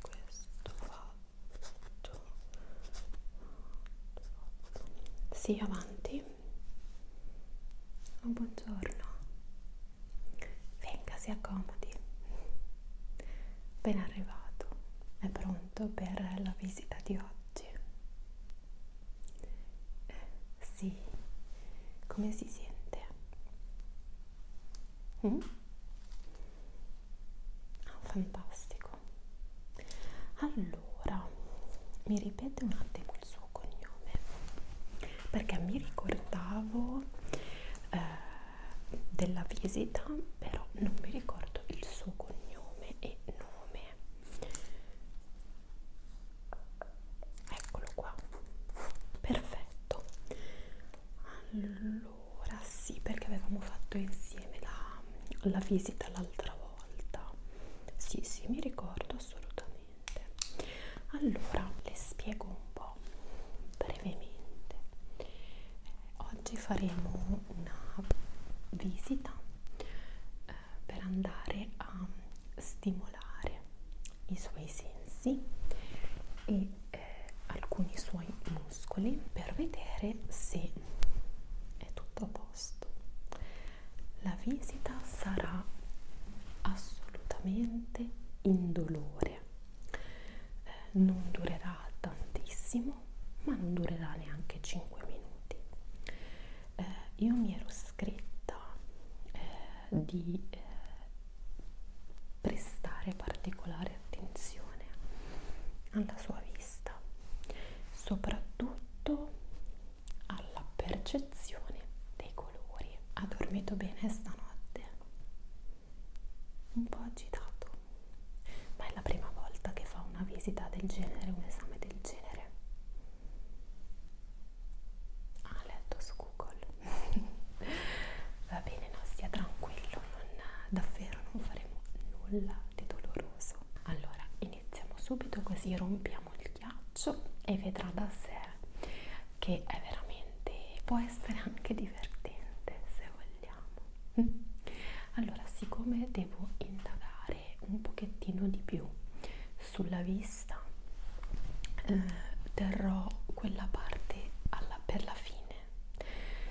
questo fatto sì avanti oh, buongiorno venga si accomodi ben arrivato è pronto pronto per la visita di oggi? Sì, come si sente? Mm? Ah, fantastico. Allora, mi ripete un attimo il suo cognome, perché mi ricordavo eh, della visita, però non mi ricordo il suo cognome cognome e nome eccolo qua perfetto allora sì perché avevamo fatto insieme la, la visita l'altra volta sì sì mi ricordo assolutamente allora le spiego un po brevemente oggi faremo una visita eh, per andare a stimolare i suoi sensi e eh, alcuni suoi muscoli per vedere se è tutto a posto la visita sarà assolutamente indolore eh, non durerà tantissimo pochissimo ma non durerà neanche 5 minuti eh, io mi ero scritta eh, di eh, prestare particolare attenzione alla sua vista soprattutto alla percezione dei colori ha dormito bene stanotte un po' agitato ma è la prima volta che fa una visita del genere, un esame del genere. Ah, letto su Google. Va bene, no, stia tranquillo, non, davvero non faremo nulla di doloroso. Allora, iniziamo subito così rompiamo il ghiaccio e vedrà da sé che è veramente può essere anche divertente se vogliamo Mm. Allora, siccome devo indagare un pochettino di più sulla vista, eh, terrò quella parte alla, per la fine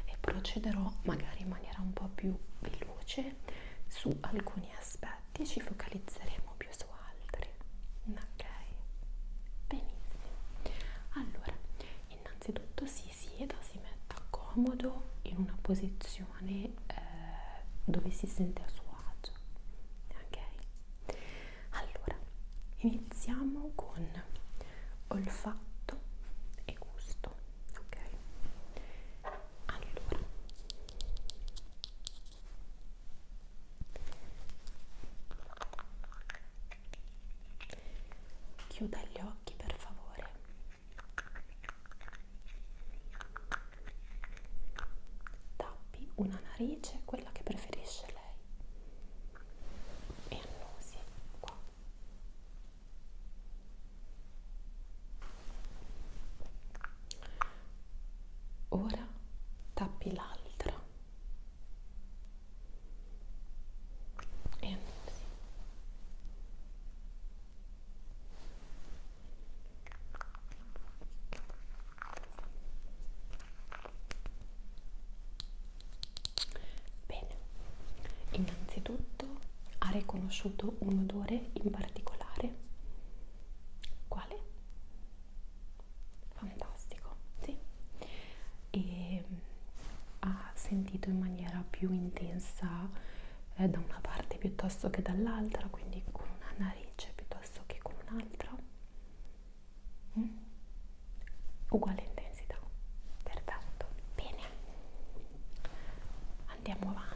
e procederò magari in maniera un po' più veloce su alcuni aspetti, ci focalizzeremo più su altri. Ok, benissimo. Allora, innanzitutto si sieda, si metta comodo in una posizione eh, dove si sente a suo agio. Ok? Allora, iniziamo con olfatto e gusto. Ok? Allora. Chiuda gli occhi per favore Tappi una narice, quella che preferisce lei, e annusi qua. Ora tappi l'altra e annusi. Bene, innanzitutto ha riconosciuto un odore in particolare. Quale? Fantastico, sì. E mm, ha sentito in maniera più intensa eh, da una parte piuttosto che dall'altra, quindi con una narice piuttosto che con un'altra. Mm? Uguale intensità, perfetto. Bene, andiamo avanti.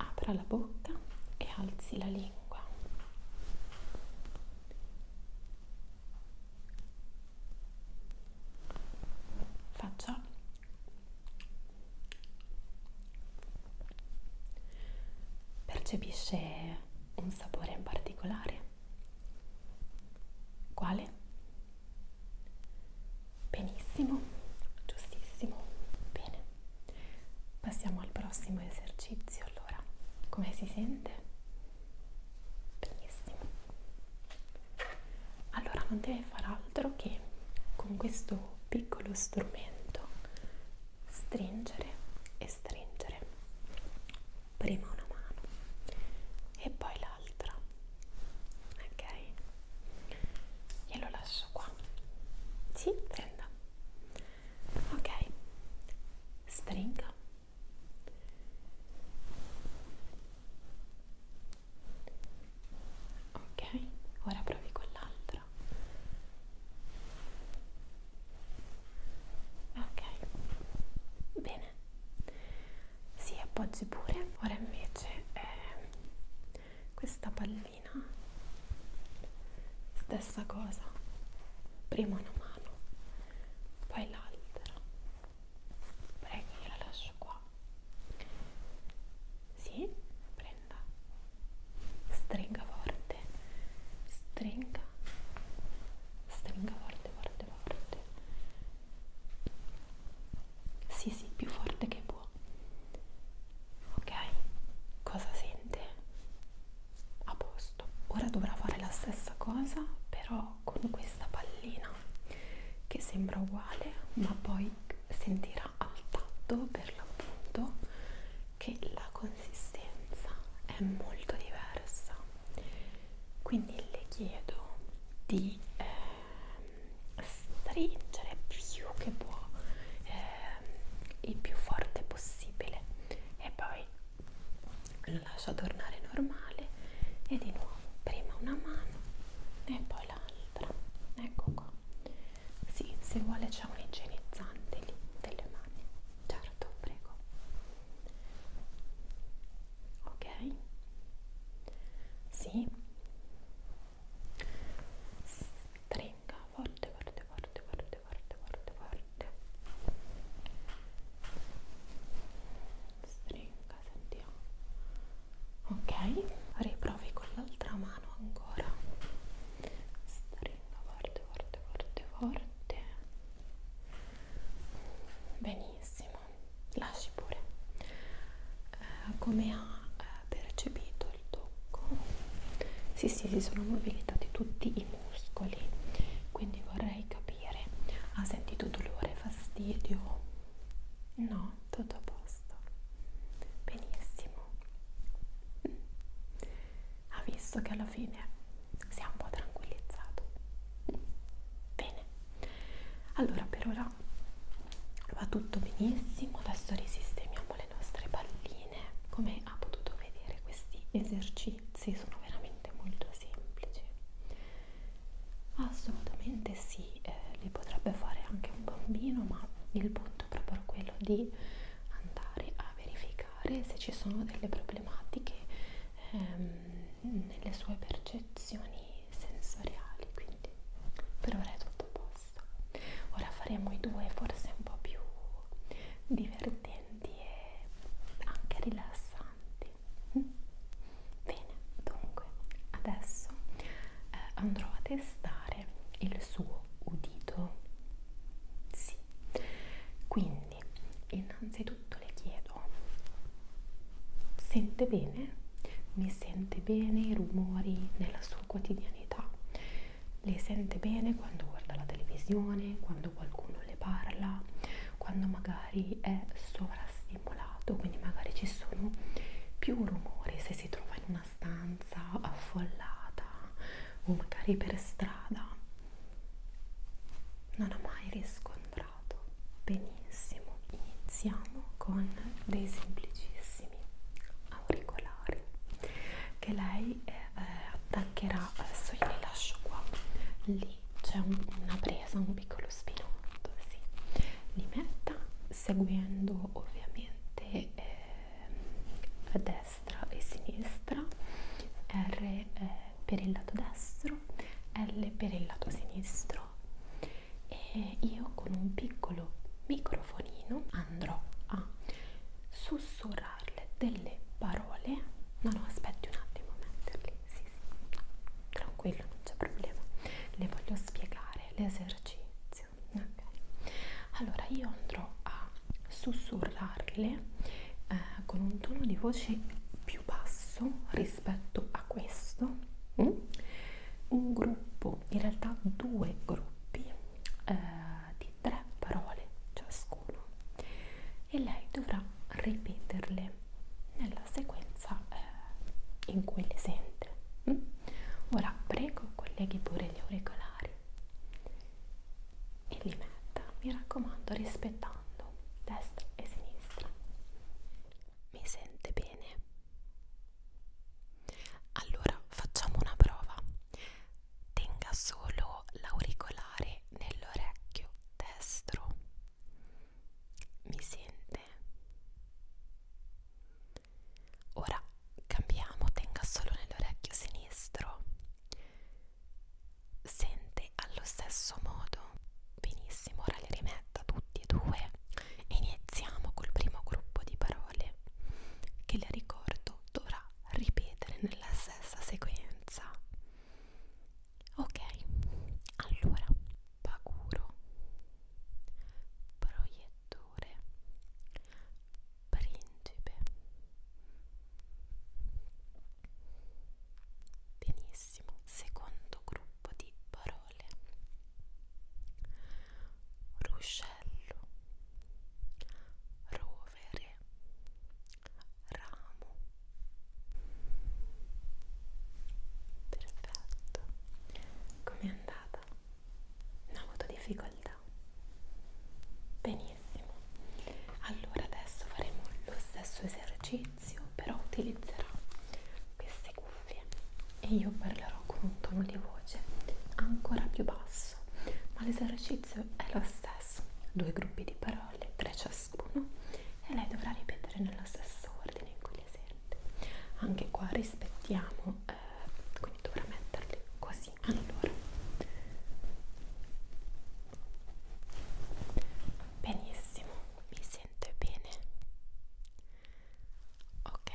Apra la bocca e alzi la lingua. Faccia Percepisce un sapore in particolare? Quale? Benissimo, giustissimo. Bene. Passiamo al prossimo esercizio. Allora, come si sente? Benissimo. Allora, non deve fare altro che con questo piccolo strumento stringere e stringere prima una mano e poi l'altra ok glielo lascio qua si sì, prenda ok stringa ok ora provi con l'altra ok bene si appoggi pure ora invece eh, questa pallina stessa cosa prima una mano poi l'altra prego io la lascio qua si sì, prendo stupenda stringa forte stringa stringa forte forte forte sì sì più forte che può ok cosa sente a posto ora dovrà fare la stessa cosa però con questa pallina che sembra uguale ma poi sentirà era al tatto per l'appunto che la consistenza è molto diversa quindi le chiedo di eh, stringere più che può eh, il più forte possibile e poi lo lascio tornare normale e di nuovo prima una mano e poi l'altra ecco qua sì, se vuole c'è un igienizzante lì delle mani. Certo, prego. Ok? Sì. Stringa forte, forte, forte, forte, forte, forte, forte. Stringa, sentiamo. Ok, riprovi con l'altra mano ancora stringo forte forte forte forte benissimo lasci pure eh, come ha eh, percepito il tocco sì sì si sono mobilitati tutti i muscoli quindi vorrei capire ha sentito dolore fastidio no tutto a posto posto. Benissimo. Ha visto che alla fine si è un po' tranquillizzato. Bene. Allora per ora va tutto benissimo. Adesso risistemiamo le nostre palline. Come ha potuto vedere questi esercizi sono veramente molto semplici. Assolutamente sì, eh, li potrebbe fare anche un bambino, ma il compito è proprio quello di andare a verificare se ci sono delle problematiche ehm, nelle sue percezioni sensoriali. Quindi per ora è tutto a posto. Ora faremo i due forse un po' più divertenti e anche rilassanti. Mm? Bene, dunque adesso eh, andrò a testare usare il suo udito? Sì. Quindi, innanzitutto le chiedo, sente bene? Mi sente bene i rumori nella sua quotidianità? Le sente bene quando guarda la televisione, quando qualcuno le parla, quando magari è sovrastimolato, quindi magari ci sono più rumori se si trova in una stanza affollata o magari per strada non ho mai riscontrato benissimo iniziamo con dei semplicissimi auricolari che lei eh, eh, attaccherà adesso io li lascio qua lì c'è un, una presa un piccolo spinotto sì. li metta seguendo ovviamente eh, a destra e sinistra, R eh, per il lato destro, L per il lato sinistro e io con un piccolo microfonino andrò a sussurrarle delle parole, no no aspetti un attimo a metterli, sì sì, tranquillo non c'è problema, le voglio spiegare l'esercizio spazio okay. allora io andrò a sussurrarle eh, con un tono di voce più basso rispetto a questo mm? un gruppo in realtà due gruppi eh, di tre parole ciascuno e lei dovrà ripeterle nella sequenza eh, in cui le sente mm? ora prego colleghi pure gli auricolari e li metta, mi raccomando, rispettando destra e sinistra. Mi sente bene? Allora facciamo una prova. Tenga solo l'auricolare nell'orecchio destro. Mi sente? Ora cambiamo, tenga solo nell'orecchio sinistro. Sente allo stesso modo. Benissimo, ora li rimetta tutti e due. Iniziamo col primo gruppo di parole che le ricordo dovrà ripetere nella stessa sequenza. Ok, allora paguro, proiettore, principe. Benissimo, secondo gruppo di parole. Ruscello, rovere, ramo. Perfetto. Com'è andata? non ho avuto difficoltà benissimo allora adesso faremo lo stesso esercizio però utilizzerò queste cuffie e io parlerò con un tono di voce ancora più basso ma l'esercizio è lo stesso due gruppi di parole tre ciascuno e lei dovrà ripetere nello stesso ordine in cui le sente anche qua rispettiamo eh, quindi dovrà metterli così sì, allora benissimo, mi sento bene ok,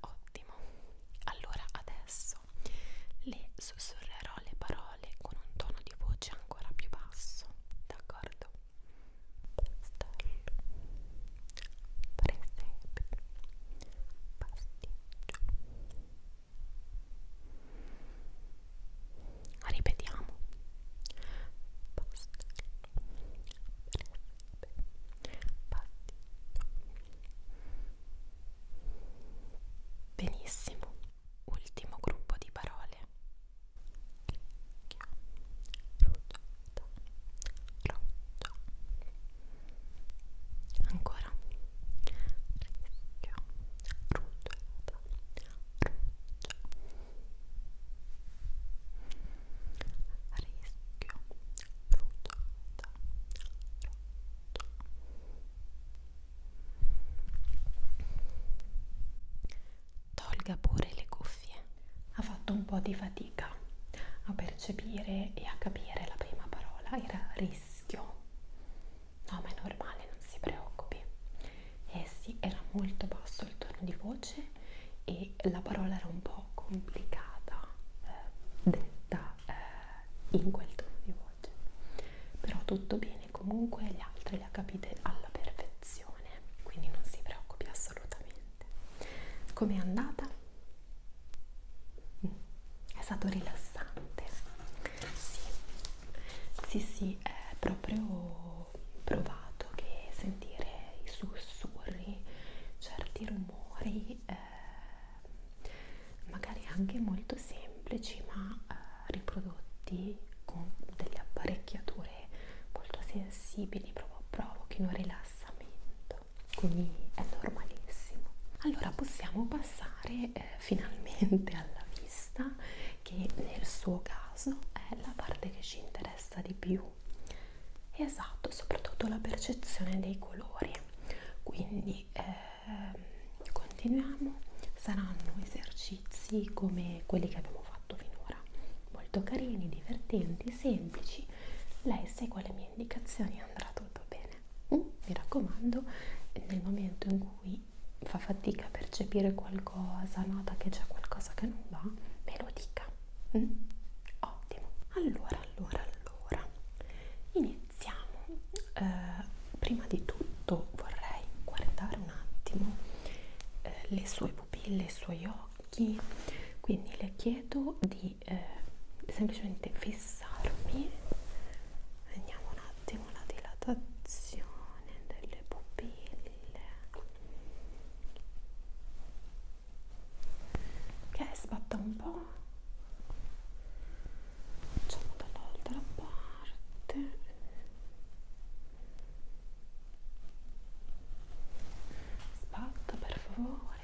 ottimo allora adesso le sussurrerò le parole con un tono di voce ancora più basso d'accordo? pastello presepe pastiglia Ripetiamo. Benissimo. Ultimo gruppo di parole. Ruggiotta, ruggiotta, ancora rischio ruggiola ruggiola rischio ruggiola ruggiola tolga pure le cuffie ha fatto un po' di fatica a percepire e a capire la prima parola era rischio. No, ma è normale, non si preoccupi. Eh sì, era molto basso il tono di voce e la parola era un po' complicata eh, detta eh, in quel tono di voce. Però tutto bene, comunque gli altri le ha capite alla perfezione, quindi non si preoccupi assolutamente. Com'è andata? È stato rilassante. Sì, sì, sì, è proprio provato che sentire i sussurri, certi rumori, eh, magari anche molto semplici, ma eh, riprodotti con delle apparecchiature molto sensibili, provo provochino rilassamento quindi è normalissimo. Allora possiamo passare eh, finalmente alla vista che nel suo caso è la parte che ci interessa di più. Esatto, soprattutto la percezione dei colori. Quindi eh, continuiamo, saranno esercizi come quelli che abbiamo fatto finora, molto carini, divertenti, semplici. Lei segue le mie mie indicazioni andrà tutto bene. Mm? Mi raccomando, nel momento in cui fa fatica a percepire qualcosa, nota che c'è qualcosa che non va, me lo dica. Mm? Ottimo. Allora, allora, allora, iniziamo. Eh, prima di tutto vorrei guardare un attimo eh, le sue pupille, i suoi occhi, quindi le chiedo di di eh, semplicemente fissarmi vediamo un attimo la dilatazione delle pupille che è sbatta un po' facciamo dall'altra parte sbatta per favore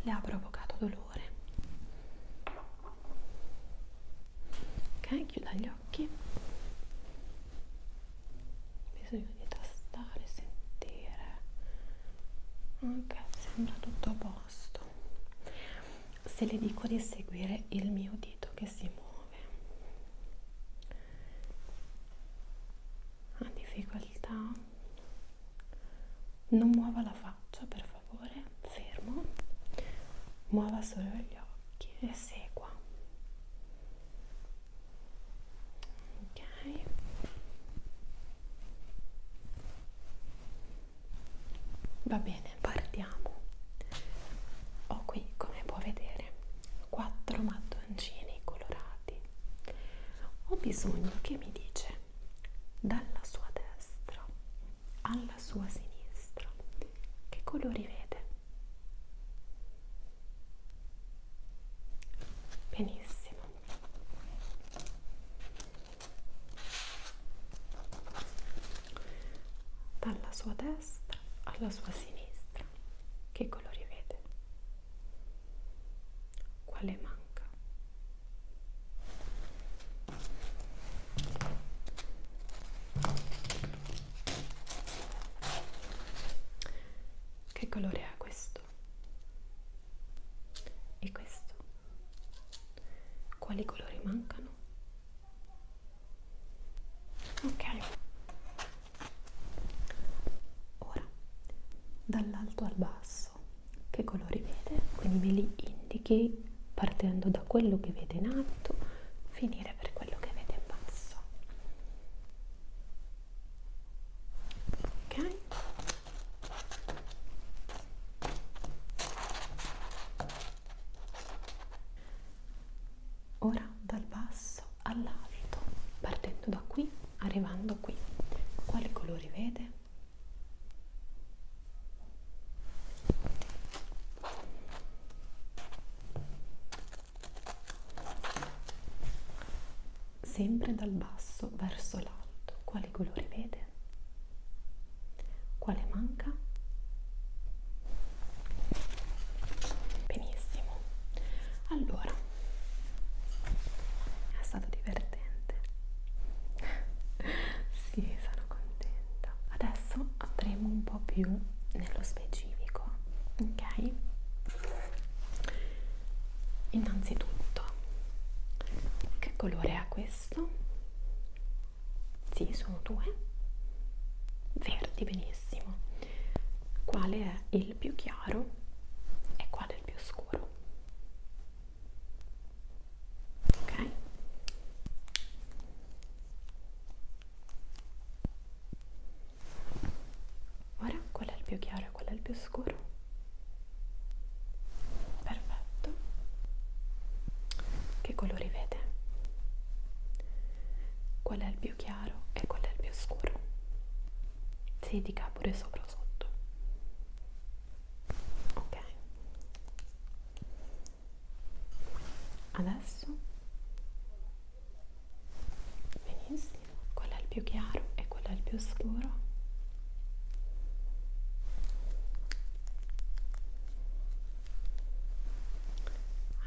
le ha provocato dolore calore ok chiuda gli occhi bisogna di tastare sentire ok sembra tutto a posto se le dico di seguire il mio dito che si muove ha difficoltà non muova la faccia per favore fermo muova solo gli occhi e segua ok va bene partiamo ho qui come può vedere quattro mattoncini colorati ho bisogno che mi dice dalla sua destra alla sua sinistra che colori vede? benissimo dalla sua destra alla sua sinistra che colori vede? quale manca che colore ha questo e questo quali colori mancano ok ora dall'alto al basso che colori vede, quindi me li indichi partendo da quello che vede in alto, finire per quello che vede in basso. Ok? Ora dal basso all'alto, partendo da qui, arrivando qui. Quali colori vede? Sempre dal basso verso l'alto, quali colori vede? Quale manca? Benissimo. Allora, è stato divertente. sì, sono contenta. Adesso andremo un po' più nello specifico, ok? Innanzitutto, che colore ha questo? Sì, sono due. Verdi, benissimo. Quale è il più chiaro e quale è il più scuro? ok ora qual è il più chiaro e qual è il più scuro perfetto che colori vede qual è il più chiaro e qual è il più scuro si dica pure sopra o sotto ok adesso benissimo quello è il più chiaro e quello è il più scuro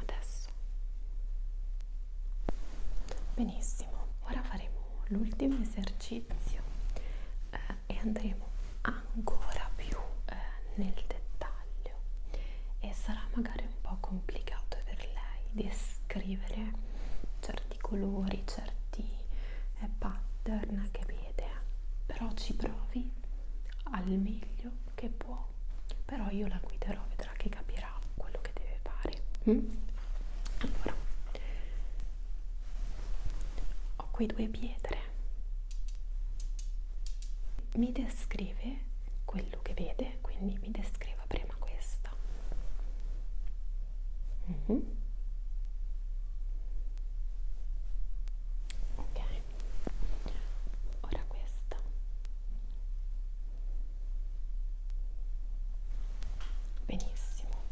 adesso benissimo ora faremo l'ultimo esercizio eh, e andremo ancora più eh, nel dettaglio e sarà magari un po' complicato per lei descrivere certi colori, certi eh, pattern che vede, però ci provi al meglio che può, però io la guiderò, vedrà che capirà quello che deve fare. Mm? Allora, ho qui due pietre mi descrive quello che vede quindi mi descriva prima questa mm -hmm. ok ora questa benissimo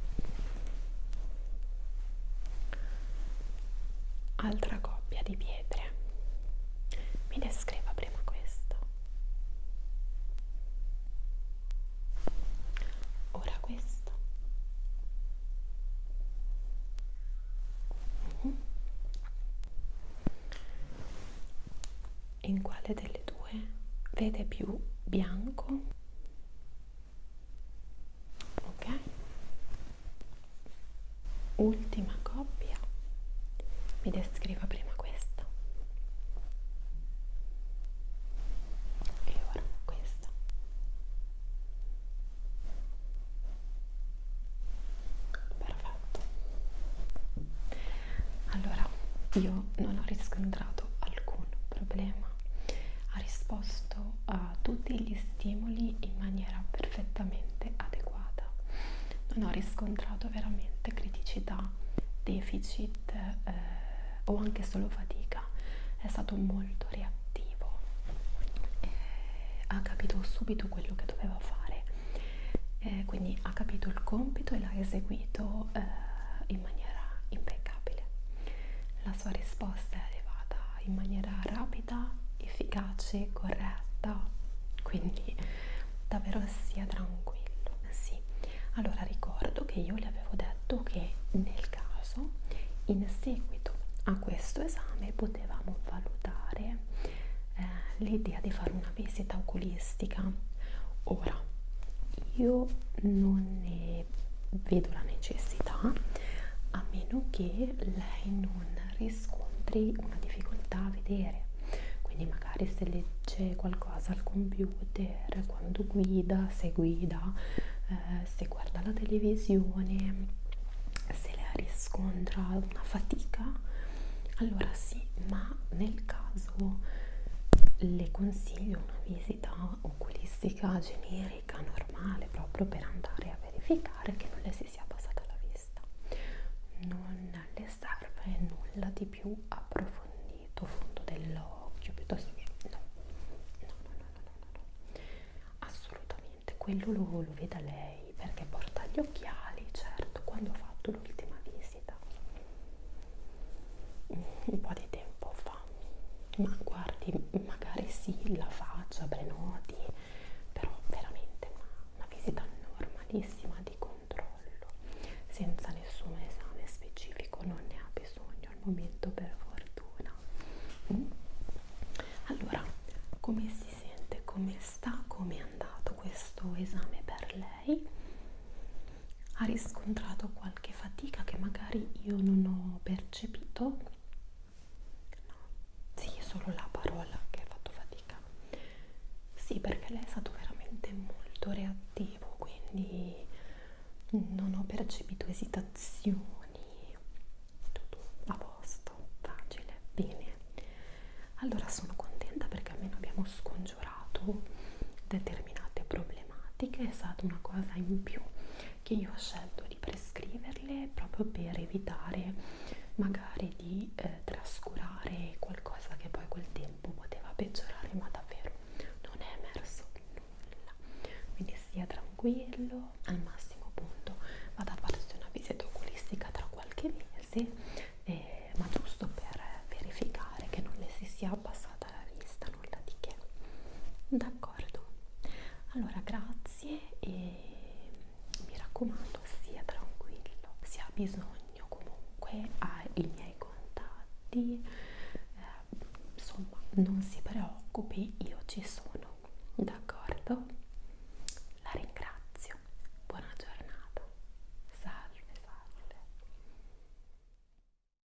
altra coppia di pietre mi descriva prima questa ora questa mhm. in quale delle due vede più bianco ok ultima coppia mi descriva prima questa e ora questa perfetto allora io non ho riscontrato alcun problema Roma ha risposto a tutti gli stimoli in maniera perfettamente adeguata non ho riscontrato veramente criticità deficit eh, o anche solo fatica è stato molto reattivo eh, ha capito subito quello che doveva fare eh, quindi ha capito il compito e l'ha eseguito eh, in maniera impeccabile la sua risposta è arrivata in maniera rapida, efficace, corretta, quindi davvero sia tranquillo. Sì, allora ricordo che io le avevo detto che nel caso, in seguito a questo esame, potevamo valutare eh, l'idea di fare una visita oculistica. Ora, io non ne ne vedo la necessità a meno che lei non riscontri una difficoltà a vedere quindi magari se legge qualcosa al computer quando guida se guida eh, se guarda la televisione se lei riscontra una fatica allora sì ma nel caso le consiglio una visita oculistica generica, normale, proprio per andare a verificare che non le si sia passata la vista. Non le serve nulla di più approfondito, fondo dell'occhio, piuttosto che no. No, no, no, no, no, no. Assolutamente, quello lo, lo veda lei perché porta gli occhiali, certo, quando ho fatto l'ultima visita un po' di tempo fa ma guardi magari sì la faccia prenoti però veramente una, una visita normalissima di controllo senza nessun esame specifico non ne ha bisogno al momento per fortuna mm? allora come si sente come sta come è andato questo esame per lei ha riscontrato qualche fatica che magari io non ho percepito no, sì è solo la parola che ha fatto fatica sì perché lei è stato veramente molto reattivo quindi non ho percepito esitazioni tutto a posto facile bene allora sono contenta perché almeno abbiamo scongiurato determinate problematiche telematiche è stata una cosa in più che io ho scelto di prescriverle proprio per evitare magari di eh, trascurare qualcosa che poi col tempo poteva peggiorare ma davvero non è emerso nulla quindi stia tranquillo al massimo punto vado a farsi una visita oculistica tra qualche mese eh, ma giusto per verificare che non le si sia abbassata passata la vista, nulla di che. D'accordo. Allora, grazie e mi raccomando, sia tranquillo. Se ha bisogno comunque ha i miei contatti. Eh, insomma, non si preoccupi, io ci sono. D'accordo? La ringrazio. Buona giornata. Salve, salve.